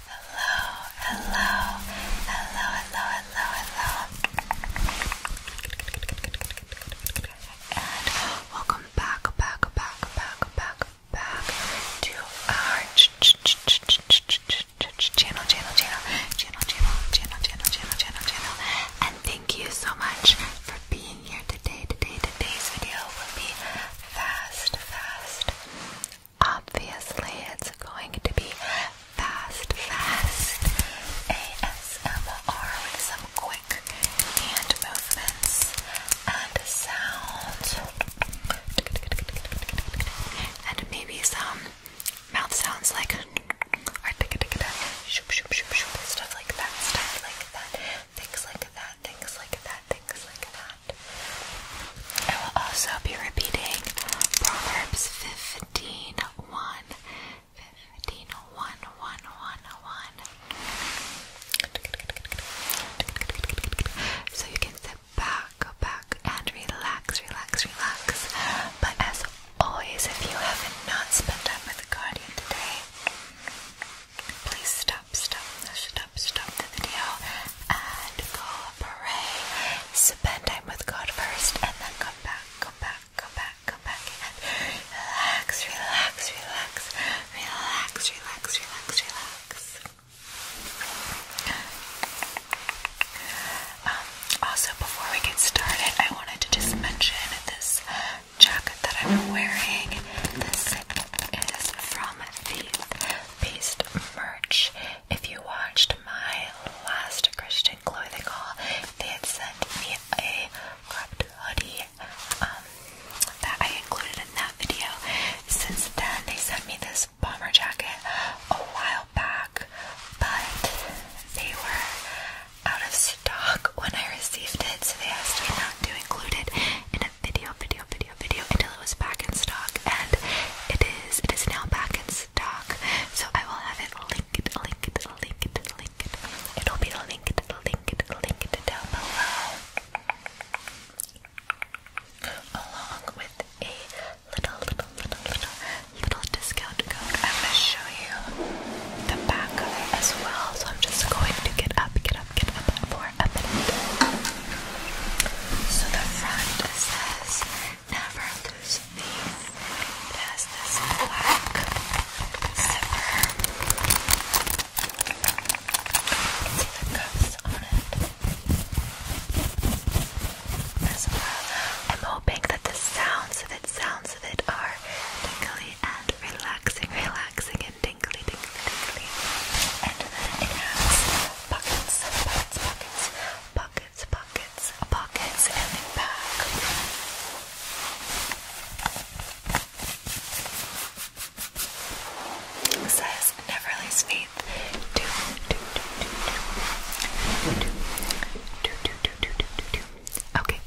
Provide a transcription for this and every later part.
Hello, hello, hello, hello, hello, hello. And welcome back, back, back, back, back, back to our channel, channel, channel, channel, channel, channel, channel, channel, channel, And thank you so much for being here today. Today, today's video will be fast, fast. Obviously, it's going to be fast, fast ASMR with some quick hand movements and sounds, and maybe some mouth sounds like or stuff like that, stuff like that, things like that, things like that, and things like that. I will also be repeating Proverbs 15 1. 15 1 1 1 1. So you can sit back, back, and relax, relax, relax. But as always, if you have not spent time with the Guardian today, please stop, stop, stop, stop the video and go pray. Spend time with God first and then come back, come back, come back, come back and relax, relax, relax, relax, relax, relax, relax. Um, also, before we get started, I wanted to just mention this jacket that I'm wearing. This is from the based merch. If you watched my last Christian clothing call, they had sent me a cropped hoodie um, that I included in that video. Since then, they sent me this bomber jacket a while back, but they were out of stock when I received it, so they asked me not to include it in video, video, video, video until it was back in stock, and it is. It is now back in stock, so I will have it linked, linked, linked, linked. It'll be linked, linked, linked down below, along with a little, little, little, little, little discount code. I'm gonna show you the back of it as well. So I'm just going to get up, get up, get up for a minute. So the front says never lose these. It has black zipper. It's even cuffs on it. As well. I'm hoping that the sounds of it, sounds of it are tingly and relaxing, relaxing and tingly, tingly. And then it has pockets, pockets, pockets, pockets, pockets, pockets, and then back. It says Neverly's Faith. Do Okay,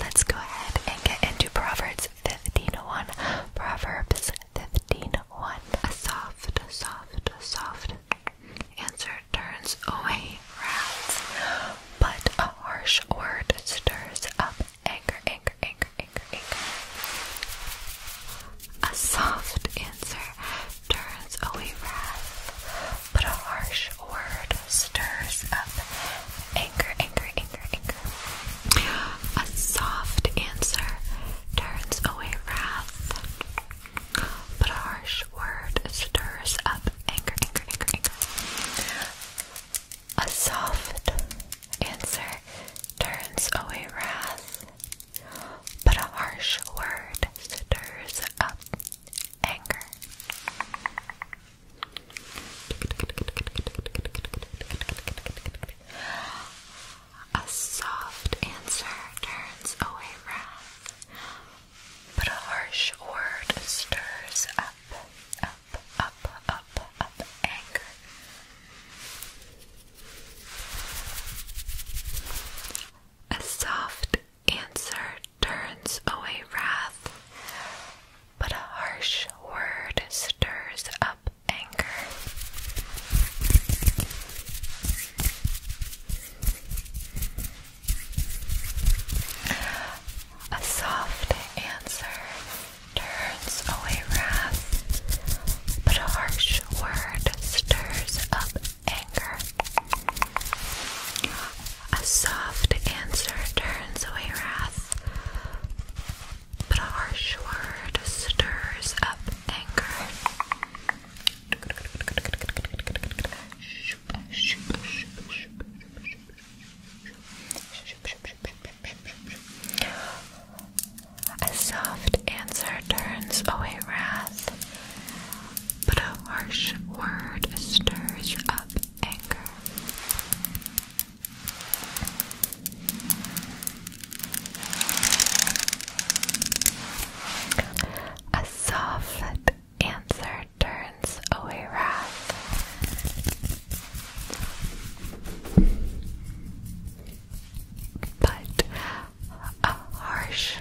let's go ahead and get into Proverbs 15.1 Proverbs 15.1 A soft, soft, soft answer turns away wrath, but a harsh word stirs up anger, anger, anger, anger, anger. A soft answer turns away wrath, but a harsh word stirs up anger anchor, anchor, anchor, anchor. A soft answer turns away wrath, but a harsh word stirs up anger, anger, anger, anger. A soft answer turns away wrath, but a harsh word stirs up anger. A soft answer turns away wrath, but a harsh word stirs up, up, up, up, up anger. A soft answer turns away wrath, but a harsh word stirs up anger. A soft answer turns away wrath, but a harsh word stirs up anger. A soft answer turns away wrath but a harsh word stirs up anger. A soft answer turns away wrath, but a harsh word stirs up anger. A soft answer turns away wrath. But a harsh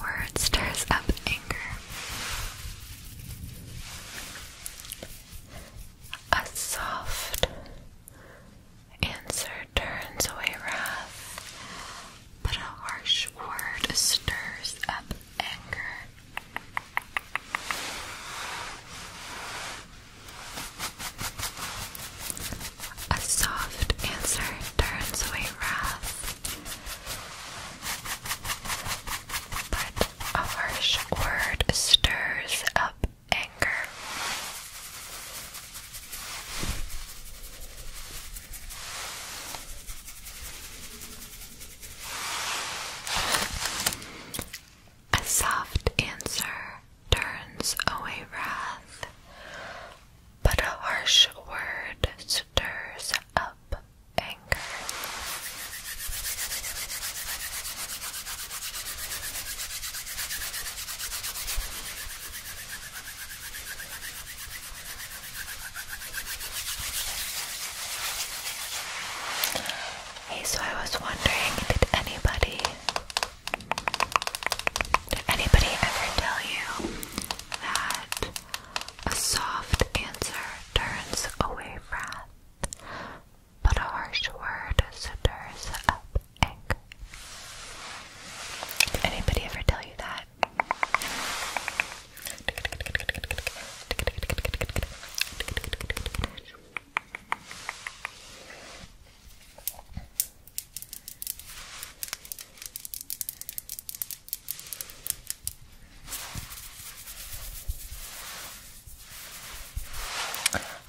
word stirs up anger. A soft answer turns away wrath, but a harsh word stirs up anger. A soft answer turns away wrath, but a harsh word stirs up anger. A soft answer turns away wrath, but a harsh word stirs up Hey, so I was wondering, did anybody, did anybody ever tell you that a soft answer turns away wrath, but a harsh word stirs up anger. Anybody ever tell you that?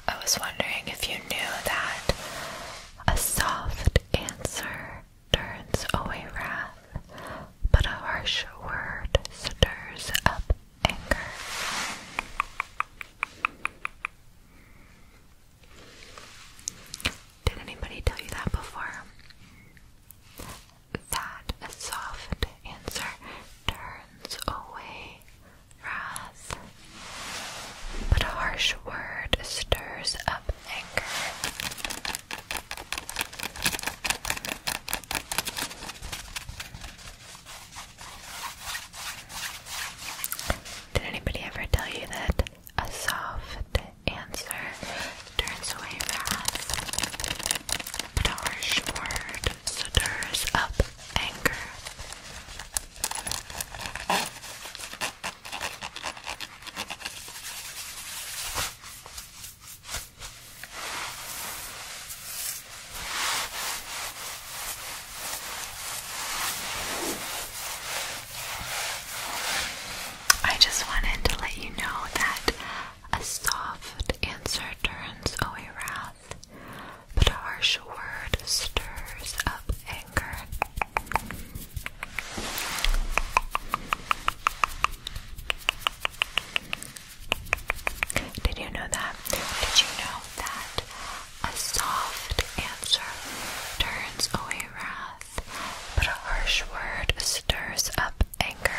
I was wondering if you knew that a soft answer turns away wrath, but a harsh word stirs up anger. Did anybody tell you that before? that a soft answer turns away wrath, but a harsh word stirs up anger. Did anybody ever tell you that a soft answer turns away wrath, but a harsh word up anger. I just wanted to let you know that a soft answer turns away wrath, but a harsh word stirs up anger. Did you know that? Did you know that a soft answer turns away wrath, but a harsh word stirs up anger.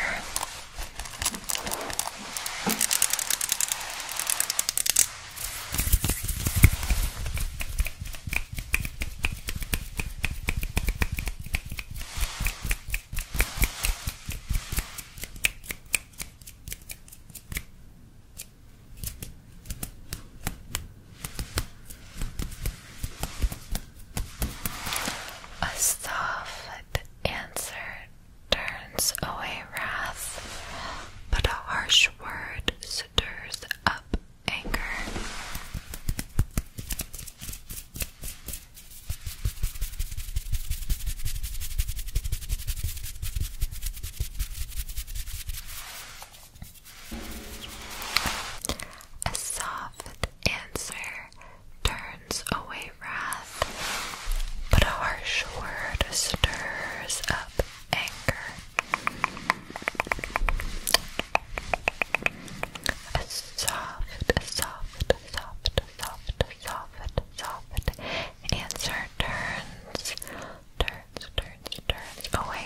A soft answer turns away wrath, but a harsh word stirs up anger. A soft answer turns away wrath, but a harsh word stirs up anger. A soft, soft, soft, soft, soft, soft answer turns, turns, turns, turns away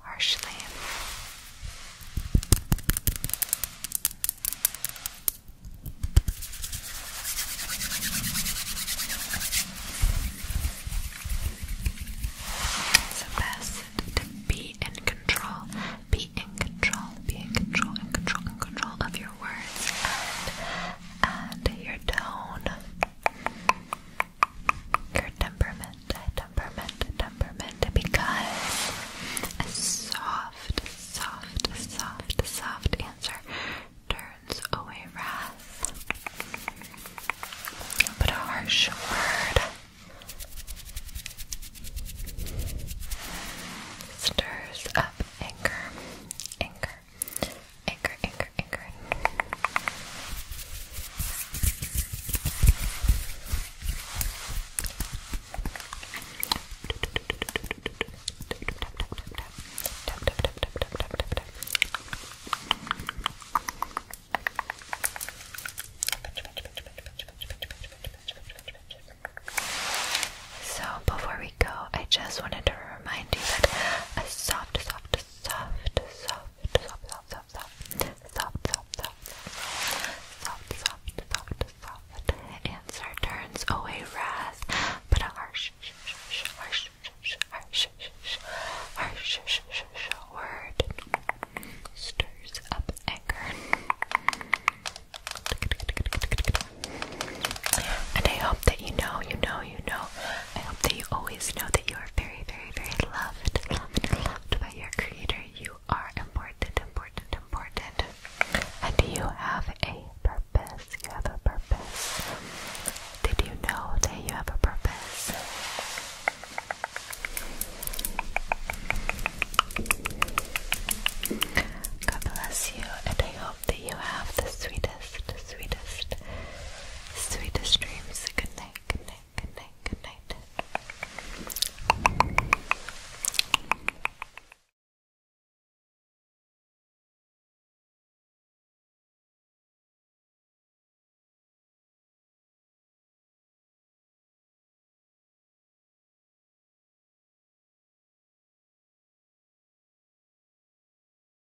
harshly. It's the best to be in control, be in control, be in control, in control, in control of your words and and your tone your temperament, temperament, temperament, because a soft, soft, soft, soft answer turns away wrath. But a harsh word stirs up anger, anchor, anchor, anchor. So, before we go, I just wanted to remind you that a soft, soft, soft, soft, soft, soft, soft, soft, soft, soft, soft, soft, soft, soft, Answer turns away wrath, but a harsh, harsh, harsh, harsh, harsh word stirs up anger. And I hope that you know, you know, you know I hope that you always know that you are very, very, very loved, loved, loved by your creator. You are important, important, important. And you have a purpose. You have a purpose. Did you know that you have a purpose? God bless you, and I hope that you have the sweetest, sweetest, Sweetest dreams. Good night, good night, good night, good night.